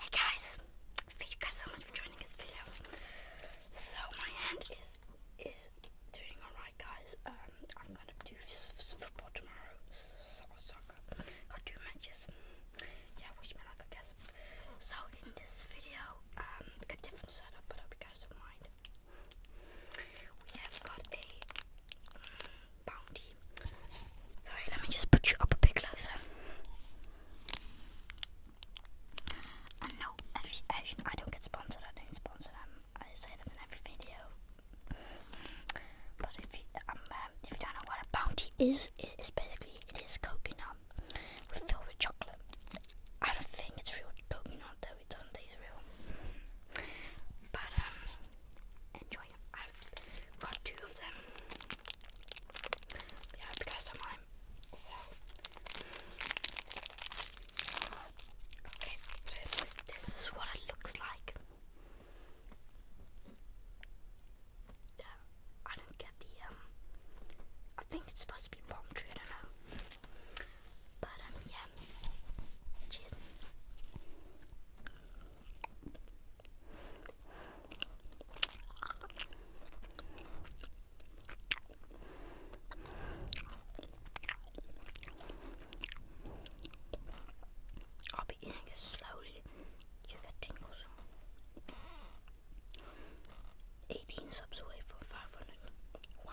Hey guys, thank you guys so much for joining this video. So my hand is is doing alright, guys. Um, I'm gonna do football tomorrow, so soccer. Got two matches. Yeah, wish me luck, I guess. So in this video, um, got different setup, but I hope you guys don't mind. We have got a bounty. Sorry, let me just put you up a bit closer. no, every, I don't get sponsored. I don't sponsor them. I say that in every video. But if you um, um, if you don't know what a bounty is, it is basically it is coconut with filled with chocolate. I don't think it's real coconut though. It doesn't taste real. But um, enjoy I've got two of them. Yeah, because of mine. So okay, this is, this is what it looks like. Yeah, I don't get the um. I think it's supposed to be palm tree. I don't know. But um, yeah. Cheers. I'll be eating it slowly. You get tingles. 18 subs away from 500. Wow.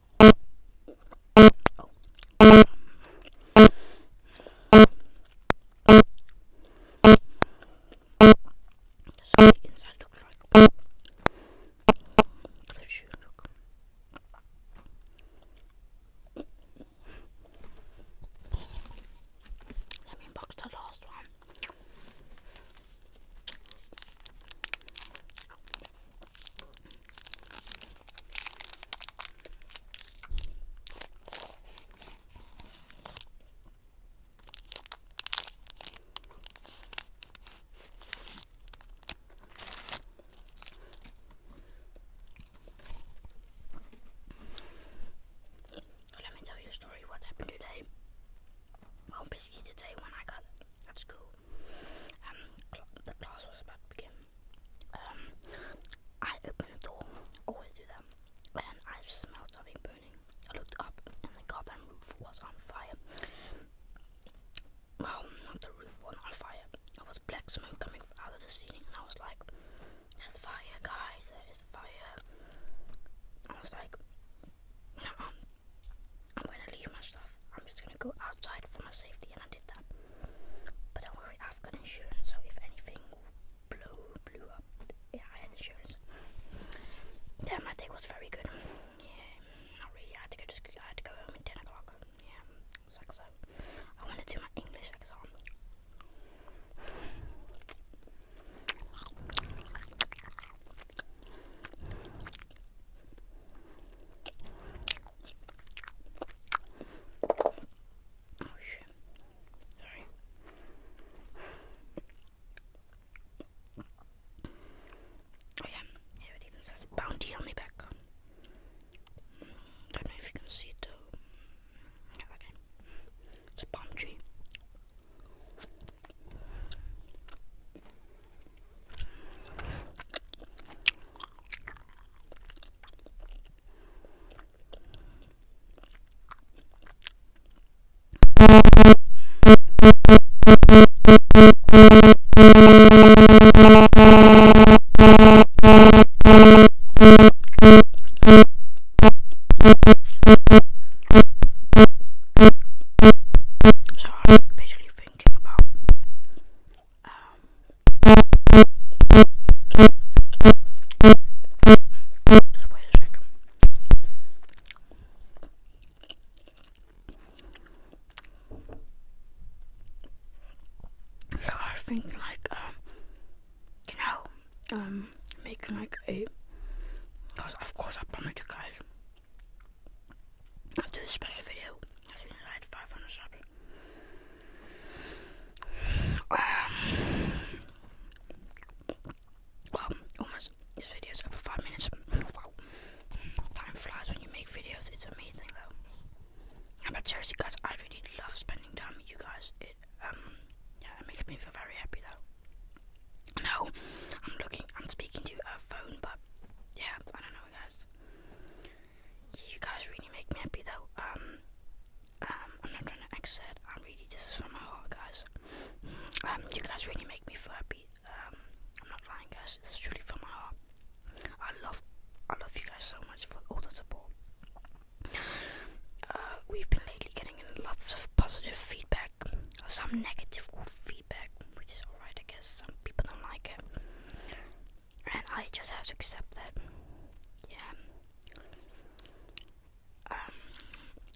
Let me unbox the last one. Let me tell you a story what happened today. Well, basically today when I got at school, um, the class was about to begin. Um, I opened the door, always do that, and I smelled something burning. I looked up, and the goddamn roof was on fire. Well, not the roof was on fire. It was black smoke coming out of the ceiling, and I was like, "There's fire, guys! There's fire!" I was like, "I'm gonna leave my stuff." I'm just gonna go outside for my safety, and I did that. But don't worry, I've got insurance, so if anything blew blew up, yeah, I had insurance. Then my day was very good. Yeah, not really. I had to go to school. I had to go home at ten o'clock. Yeah, sucks. So I want to do my English exam. Oh shit. Sorry. Oh yeah, here it even says bounty on the back. I mm, don't know if you can see it though. Mm, okay. It's a palm so I'm basically thinking about um, so I think like um, you know, um, making like a, cause of course I promised you guys I'll do a special video as soon as I hit 500 subs. Um, well, almost this video over 5 minutes. Wow. Time flies when you make videos, it's amazing though. But seriously, guys, I really love spending time with you guys. It, um, yeah, it makes me feel very happy though. No, I'm looking, I'm speaking to a phone, but yeah, I don't know guys. You guys really make me happy though. Um, um, I'm not trying to exit. I'm really this is from my heart, guys. Um, you guys really make me feel happy. Um, I'm not lying, guys. It's is truly from my heart. I love, I love you guys so much for all the support. Uh, we've been lately getting lots of positive feedback, some negative feedback, which is alright, I guess some people don't like it. And I just have to accept that. Yeah. Um,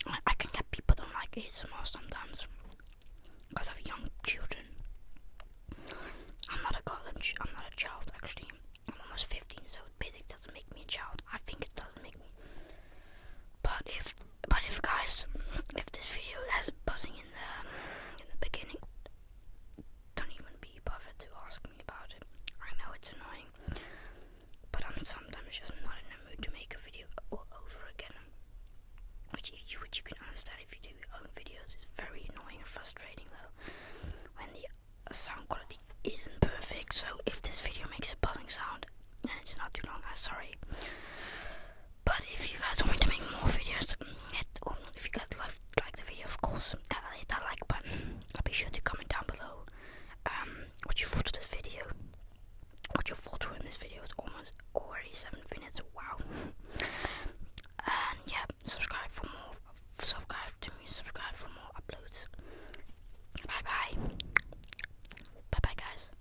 I, I can get people don't like ASMR sometimes because of young children. I'm not a college, I'm not a child actually. I'm almost 15, so it basically doesn't make me a child. I think it does not make me. But if, but if guys, if this video has buzzing in the beginning. Don't even be bothered to ask me about it. I know it's annoying, but I'm sometimes just not in the mood to make a video all over again. Which, you, which you can understand if you do your own videos. It's very annoying and frustrating though, when the sound quality isn't perfect. So if this video makes a buzzing sound and it's not too long, I'm ah, sorry. But if you guys want me to make more videos, hit, well, if you guys love, like the video, of course, uh, hit that like button. I'll be sure to comment down below um, what you thought of this video. What you thought of in this video. It's almost already seven minutes. Wow. And yeah, subscribe for more. Subscribe to me. Subscribe for more uploads. Bye bye. Bye bye, guys.